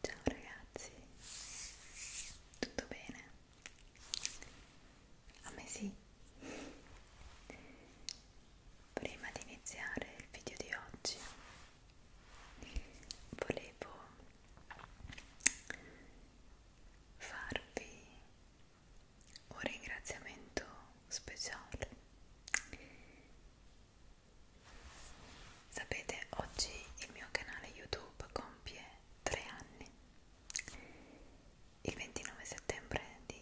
Ciao ragazzi, tutto bene? A me sì. Prima di iniziare il video di oggi volevo farvi un ringraziamento speciale. Sapete, oggi il mio canale YouTube compie tre anni, il 29 settembre di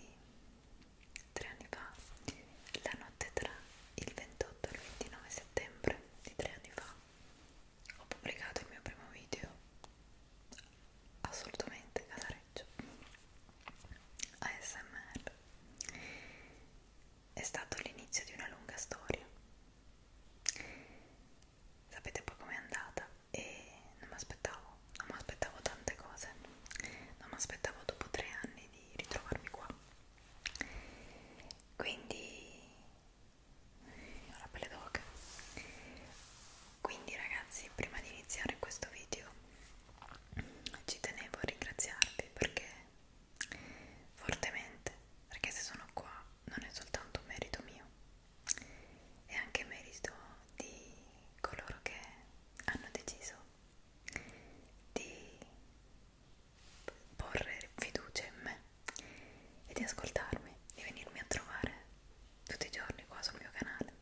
tre anni fa, la notte tra il 28 e il 29 settembre di tre anni fa, ho pubblicato il mio primo video assolutamente casareccio ASMR è stato l'inizio di una lunga storia sapete poi com'è andata e non mi aspettavo non mi aspettavo tante cose non mi aspettavo dopo tre anni di ritrovarmi qua quindi ho la pelle d'oca quindi ragazzi prima di iniziare questo video ci tenevo a ringraziarvi perché fortemente perché se sono qua non è soltanto merito mio è anche merito di coloro che hanno deciso di porre fiducia in me e di ascoltarmi, di venirmi a trovare tutti i giorni qua sul mio canale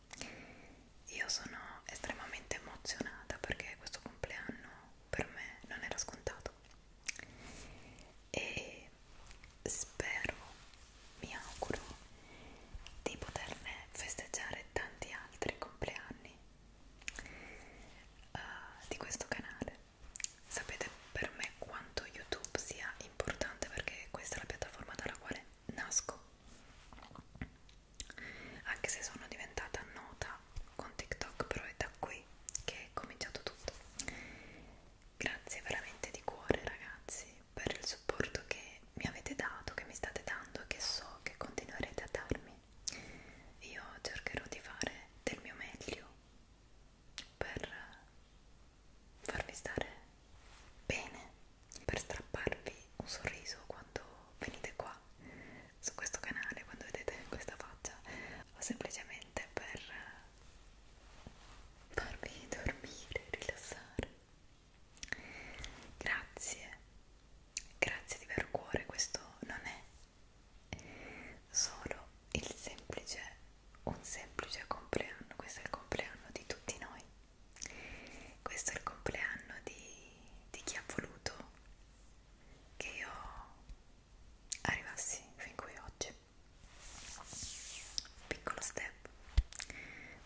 io sono estremamente emozionata perché questo compleanno per me non era scontato e spero, mi auguro, di poterne festeggiare tanti altri compleanni uh, di questo canale. Sapete per me quanto YouTube sia importante perché questa è la piattaforma dalla quale nasco anche se sono diventata nota con TikTok però è da qui che è cominciato tutto grazie veramente di cuore ragazzi per il supporto che mi avete dato che mi state dando e che so che continuerete a darmi io cercherò di fare del mio meglio per farvi stare Bene, per strapparvi un sorriso quando venite qua su questo canale, quando vedete questa faccia, o semplicemente per farvi dormire, rilassare. Grazie, grazie di vero cuore, questo non è solo il semplice, un semplice compleanno, questo è il compleanno di tutti noi questo è il compleanno di, di chi ha voluto che io arrivassi fin qui oggi piccolo step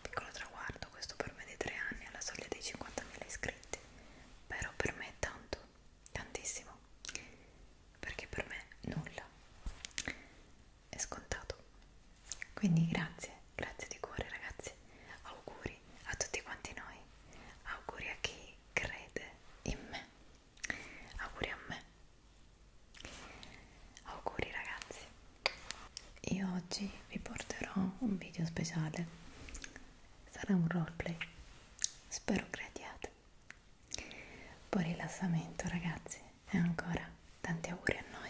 piccolo traguardo questo per me di tre anni alla soglia dei 50.000 iscritti però per me è tanto tantissimo perché per me nulla è scontato quindi grazie grazie di cuore ragazzi auguri a tutti quanti noi auguri a chi crede in me auguri a me auguri ragazzi io oggi vi porterò un video speciale sarà un roleplay spero crediate poi rilassamento ragazzi e ancora tanti auguri a noi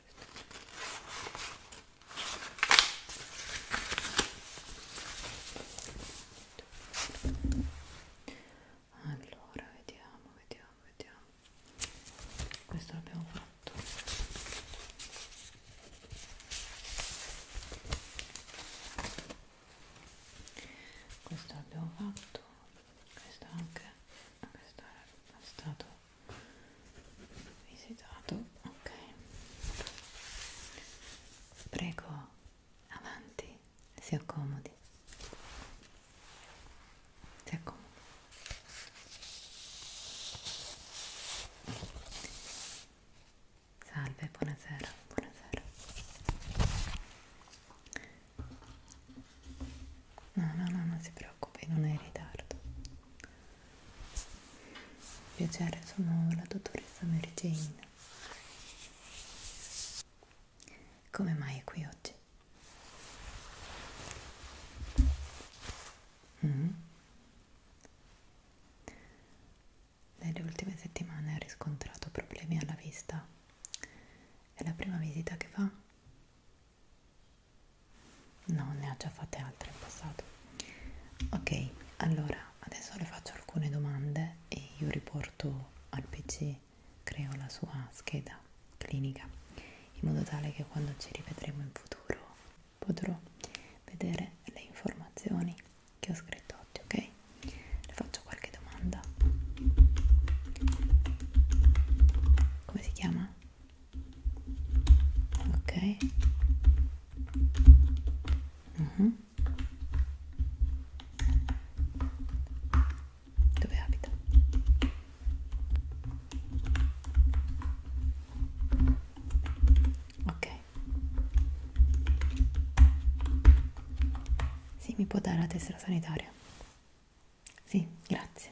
allora vediamo vediamo vediamo questo l'abbiamo fatto questo l'abbiamo fatto questo anche questo è stato visitato ok prego avanti si accomodi si accomodi salve buonasera buonasera no no no non si preoccupi non è in ritardo Piacere, sono la dottoressa Mary Jane. Come mai è qui oggi? Mm. Nelle ultime settimane ha riscontrato problemi alla vista. È la prima visita che fa? no ne ho già fatte altre in passato ok allora adesso le faccio alcune domande e io riporto al pc creo la sua scheda clinica in modo tale che quando ci rivedremo in futuro potrò vedere le informazioni che ho scritto oggi ok le faccio qualche domanda come si chiama ok uh-huh. dove abita ok si sì, mi può dare la tessera sanitaria sì, grazie.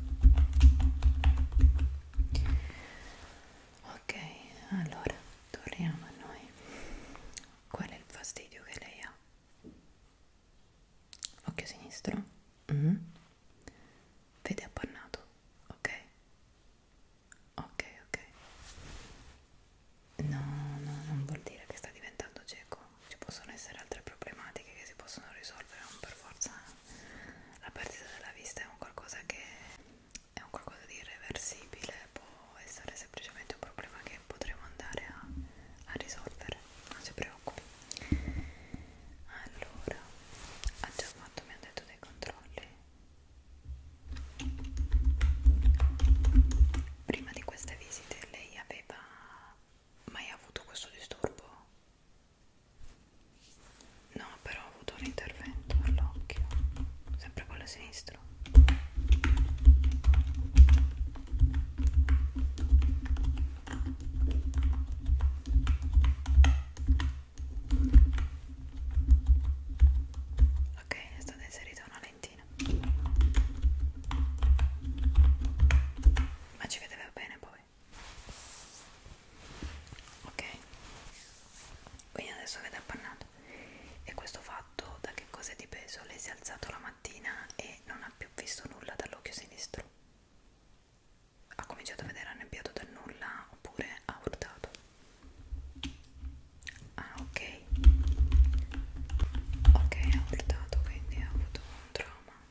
ok allora torniamo a noi qual è il fastidio che lei ha occhio sinistro mm -hmm. vede appannato ok ok ok no no non vuol dire che sta diventando cieco ci possono essere altre problematiche che si possono risolvere non per forza la perdita della vista è un qualcosa che è un qualcosa di irreversibile, può essere semplicemente un problema che potremo andare a, a risolvere, non si preoccupi. Allora, ha già fatto, mi ha detto dei controlli. Prima di queste visite lei aveva mai avuto questo disturbo? No, però ho avuto un intervento all'occhio, sempre con la sinistra. Ok, ne è stata inserita una lentina. Ma ci vedeva bene, povero ok quindi adesso avete appannato e questo fatto da che cosa è dipeso? lei si è alzato la mattina e non ha più visto nulla dall'occhio sinistro ha cominciato a vedere annebbiato dal nulla oppure ha urtato ah ok ok ha urtato quindi ha avuto un trauma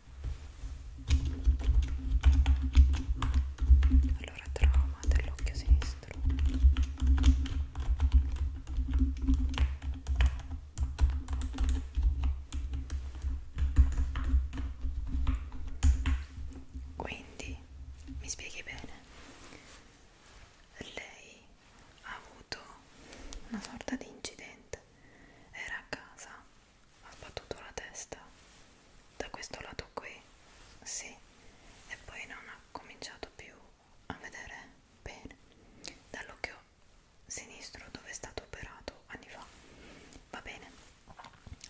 allora trauma dell'occhio sinistro quindi mi spieghi bene lei ha avuto una sorta di incidente era a casa ha battuto la testa da questo lato qui, sì, e poi non ha cominciato più a vedere bene dall'occhio sinistro dove è stato operato anni fa. Va bene,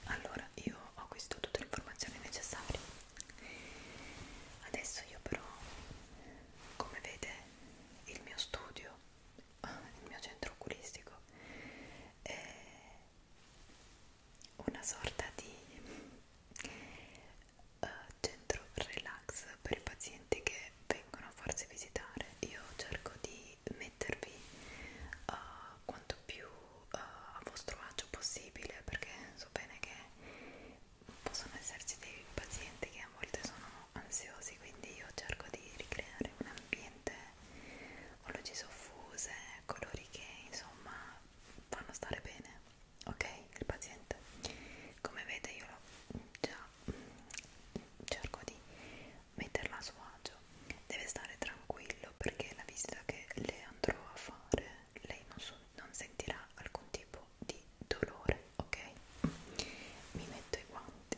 allora io ho acquistato tutte le informazioni necessarie. Adesso io però, come vede, il mio studio il mio centro oculistico è una sorta di uh, centro relax per i pazienti che vengono a farsi visitare io cerco di mettervi uh, quanto più uh, a vostro agio possibile perché so bene che possono esserci dei pazienti che a volte sono ansiosi quindi io cerco di ricreare un ambiente con luci soffuse, colori che insomma fanno stare bene, ok? Il paziente. Come vede io già cerco di metterla a suo agio, deve stare tranquillo perché la visita che le andrò a fare lei non, so, non sentirà alcun tipo di dolore ok mi metto i guanti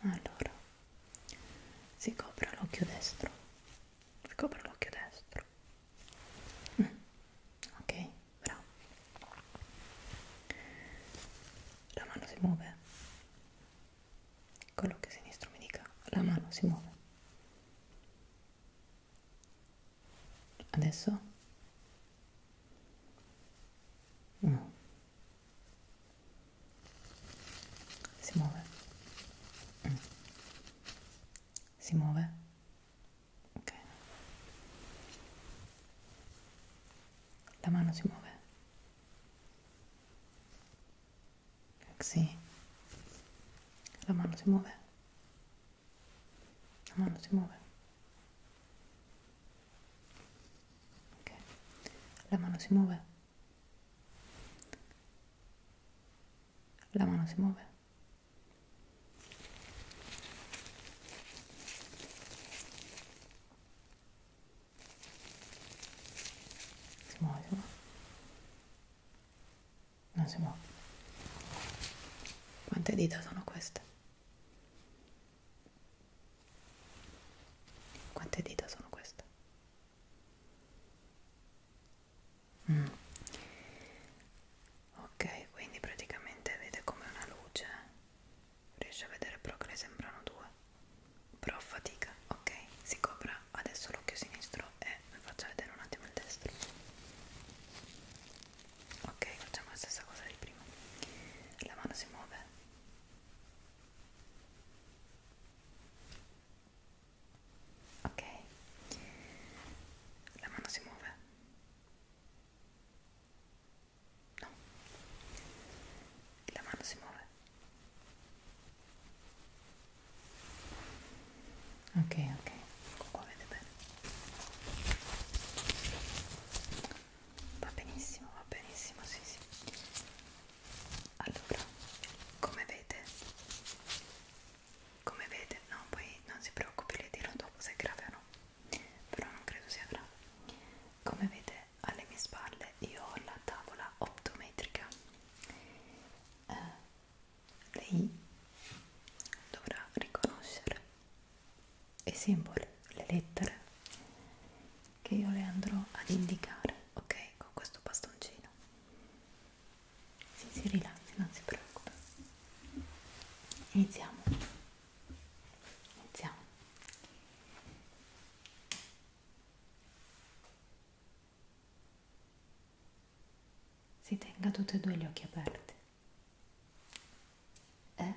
allora si copre l'occhio destro si copre l'occhio destro mm. ok bravo la mano si muove con l'occhio sinistro mi dica la mano si muove adesso no si muove mm. si muove ok la mano si muove sì la mano si muove la mano si muove ok la mano si muove la mano si muove si muove, si muove. non si muove quante dita sono queste quante dita sono queste? Mm. Ok, quindi praticamente vede come una luce. Riesce a vedere però che ne sembrano due. Però fatica. Ok, si copra adesso l'occhio sinistro e vi faccio vedere un attimo il destro. Ok, facciamo la stessa cosa di prima. La mano si muove ok la mano si muove no la mano si muove ok ok qua vede bene va benissimo, va benissimo, sì sì. Allora, come vede, come vede, no, poi non si preoccupi, le dirò dopo se è grave o no, però non credo sia grave. Come vede, alle mie spalle io ho la tavola optometrica. Eh, lei dovrà riconoscere i simboli, le lettere che io le andrò ad indicare, ok? Con questo bastoncino. Si, si rilassi, non si preoccupi. Iniziamo. Iniziamo. Si tenga tutti e due gli occhi aperti. E eh?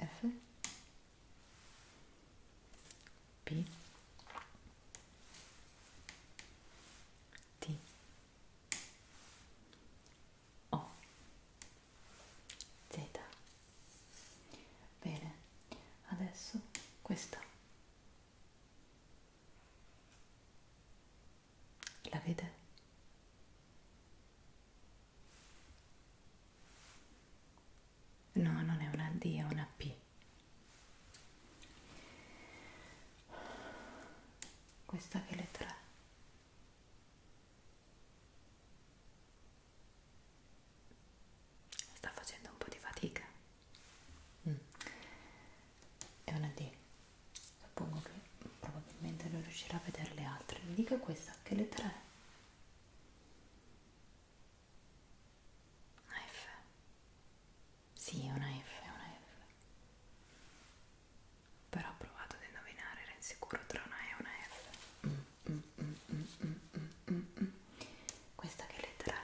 F P T O Z Bene, adesso questa la vede? No, non è una D, è una P. Questa che lettera è? Sta facendo un po' di fatica. Mm è una D suppongo che probabilmente non riuscirà a vedere le altre mi dica questa che lettera è una F sì è una F è una F però ho provato ad indovinare era insicuro tra una E e una F mm. Mm, mm, mm, mm, mm, mm. mm. Questa che lettera è?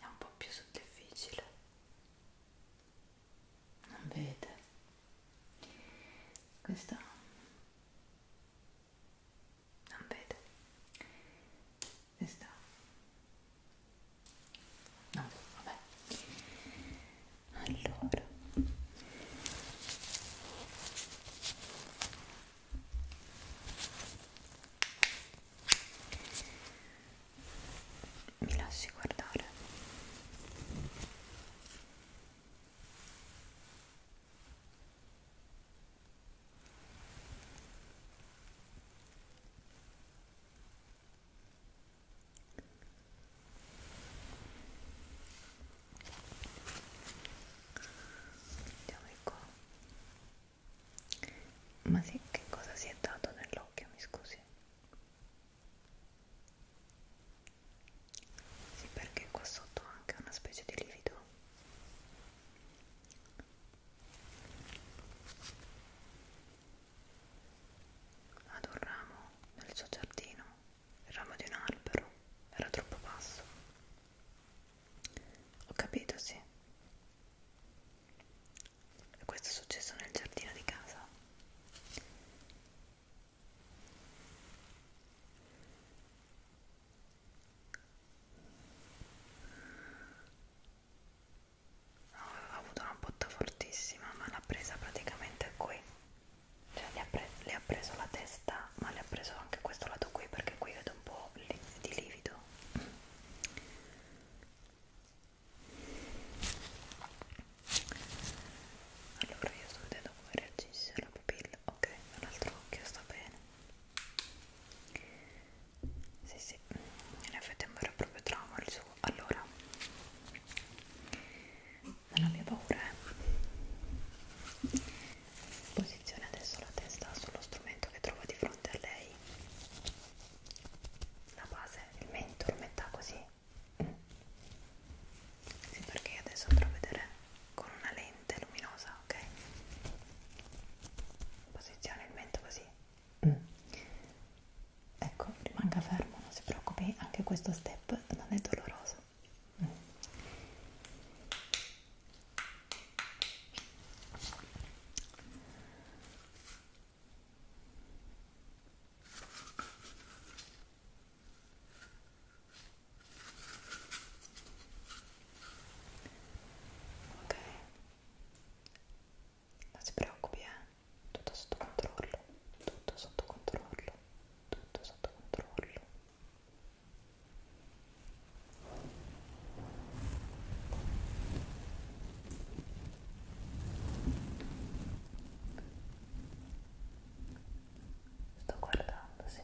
È un po' più difficile non vede questa non vede questa no vabbè allora mi lasci guardare andiamo di qua ma sì, che cosa si è dato nell'occhio, mi scusi? Sì, perché qua sotto ho anche una specie di livido. Ad un ramo nel suo giardino, il ramo di un albero, era troppo basso. Ho capito, sì questo è successo nel giardino di casa ho avuto una botta fortissima ma l'ha presa praticamente qui cioè le ha, pre le ha preso la testa ma le ha preso anche questo lato qui perché qui vedo un po' di livido allora io sto vedendo come reagisce la pupilla ok l'altro occhio sta bene sì sì in effetti è vero proprio trauma il suo allora non abbia paura eh. posizione adesso la testa sullo strumento che trova di fronte a lei la base, il mento lo metta così sì perché adesso andrò a vedere con una lente luminosa ok posizione il mento così mm. ecco rimanga fermo non si preoccupi anche questo step non è doloroso mm. Ok, non si preoccupi, eh? tutto sotto controllo, tutto sotto controllo, tutto sotto controllo. Sto guardando, sì.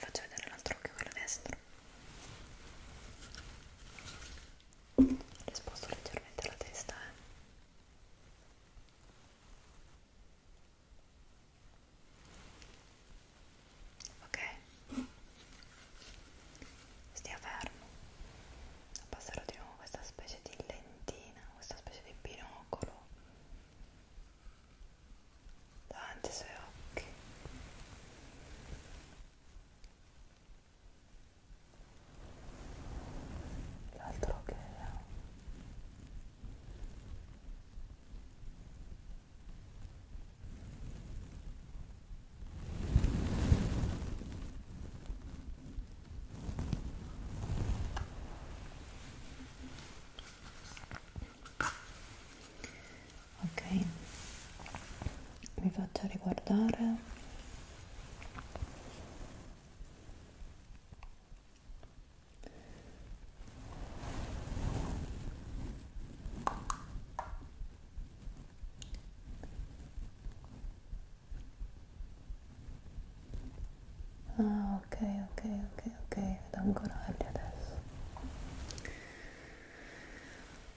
Faccio vedere l'altro occhio, quello destro le sposto leggermente la testa eh. ok stia fermo passerò di nuovo questa specie di lentina questa specie di binocolo davanti ai suoi occhi l'altro che ok mi faccia riguardare ah ok ok ok ok vedo ancora Ellie adesso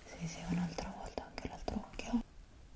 sì sì un'altra volta anche l'altro occhio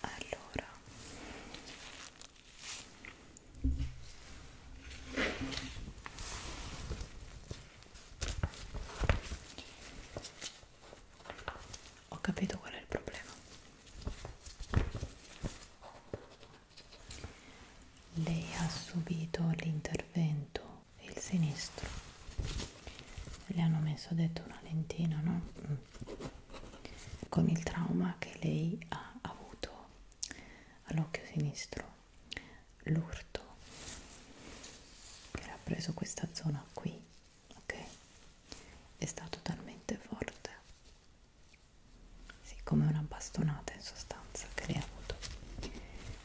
allora ho capito qual è il problema lei ha subito l'intervento, il sinistro. Le hanno messo detto una lentina, no? Mm. Con il trauma che lei ha avuto all'occhio sinistro, l'urto che le ha preso questa zona qui, ok? È stato talmente forte sì, come una bastonata in sostanza che lei ha avuto e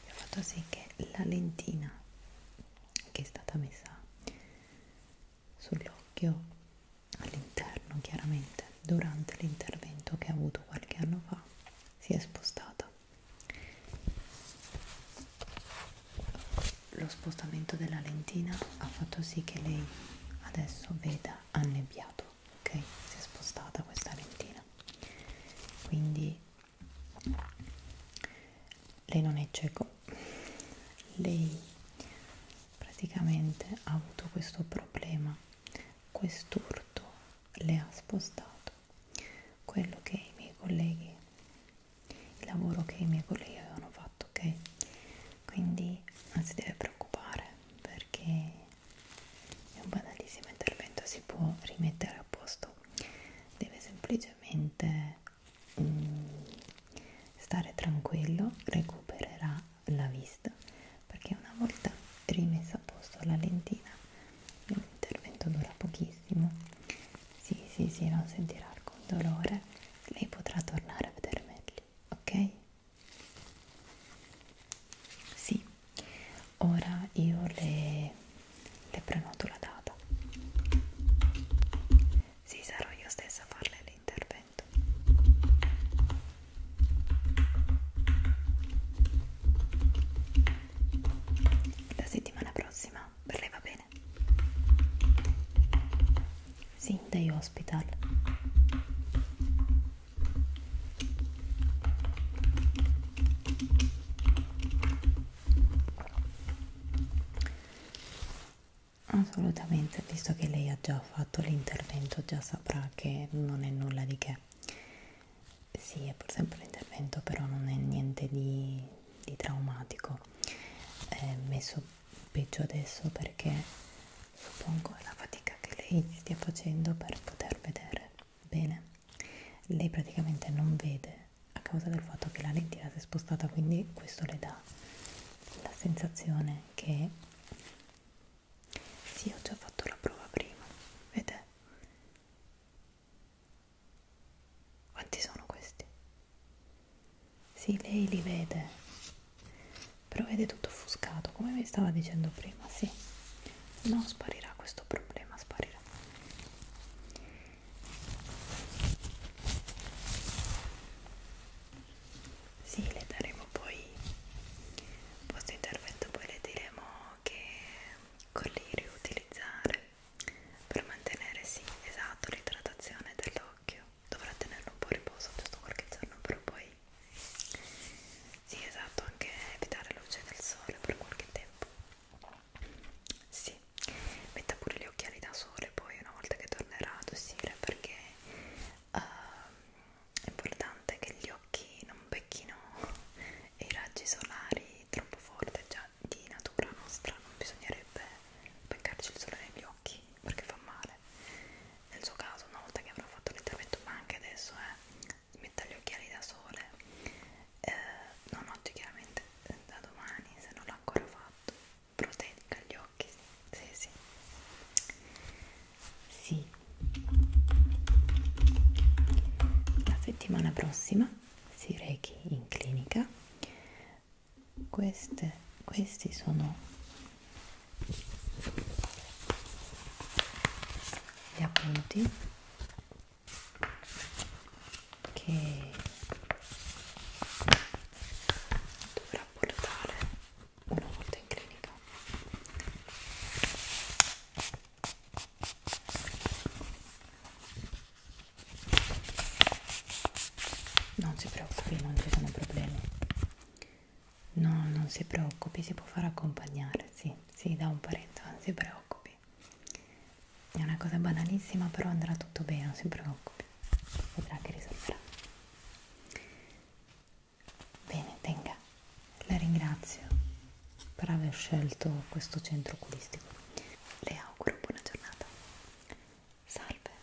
ha fatto sì che la lentina che è stata messa sull'occhio all'interno chiaramente durante l'intervento che ha avuto qualche anno fa si è spostata lo spostamento della lentina ha fatto sì che lei adesso veda annebbiato ok? Si è spostata questa lentina quindi lei non è cieco lei praticamente ha avuto questo problema quest'urto le ha spostato quello che i miei colleghi il lavoro che i miei colleghi avevano fatto ok quindi non si deve preoccupare perché è un banalissimo intervento, si può rimettere a posto, deve semplicemente mm, stare tranquillo, recupererà la vista perché una volta rimessa a posto la lentina l'intervento dura pochissimo sì sì sì non sentirà alcun dolore lei potrà tornare a vedere meglio ok sì, ora io le, le prenoto la data. Sì, sarò io stessa a farle l'intervento. La settimana prossima per lei va bene? Sì, dai hospital assolutamente visto che lei ha già fatto l'intervento già saprà che non è nulla di che sì è pur sempre l'intervento però non è niente di, di traumatico è messo peggio adesso perché suppongo è la fatica che lei stia facendo per poter vedere bene lei praticamente non vede a causa del fatto che la lentina si è spostata quindi questo le dà la sensazione che sì ho già fatto la prova prima vede quanti sono questi? Sì, lei li vede, però vede tutto offuscato come vi stava dicendo prima sì non sparirà questo problema sparirà sì le daremo poi questo intervento poi le diremo che colli riutilizzare per mantenere sì esatto l'idratazione dell'occhio dovrà tenerlo un po' a riposo giusto qualche giorno però poi sì, esatto, anche evitare la luce del sole per qualche tempo. Sì, metta pure gli occhiali da sole poi una volta che tornerà ad uscire perché uh, è importante che gli occhi non becchino i raggi solari troppo forti, già di natura nostra non bisognerebbe beccarci il sole negli occhi perché fa male normale nel suo caso una volta che avrò fatto l'intervento ma anche adesso eh, metta gli occhiali da sole eh, non oggi chiaramente eh, da domani se non l'ho ancora fatto proteica gli occhi sì sì sì la settimana prossima si rechi in clinica queste, questi sono gli appunti che dovrà portare una volta in clinica non si preoccupi non ci sono problemi No, non si preoccupi, si può far accompagnare, sì, sì, da un parente, non si preoccupi. È una cosa banalissima, però andrà tutto bene, non si preoccupi. Vedrà che risolverà. Bene, tenga, la ringrazio per aver scelto questo centro oculistico. Le auguro buona giornata. Salve.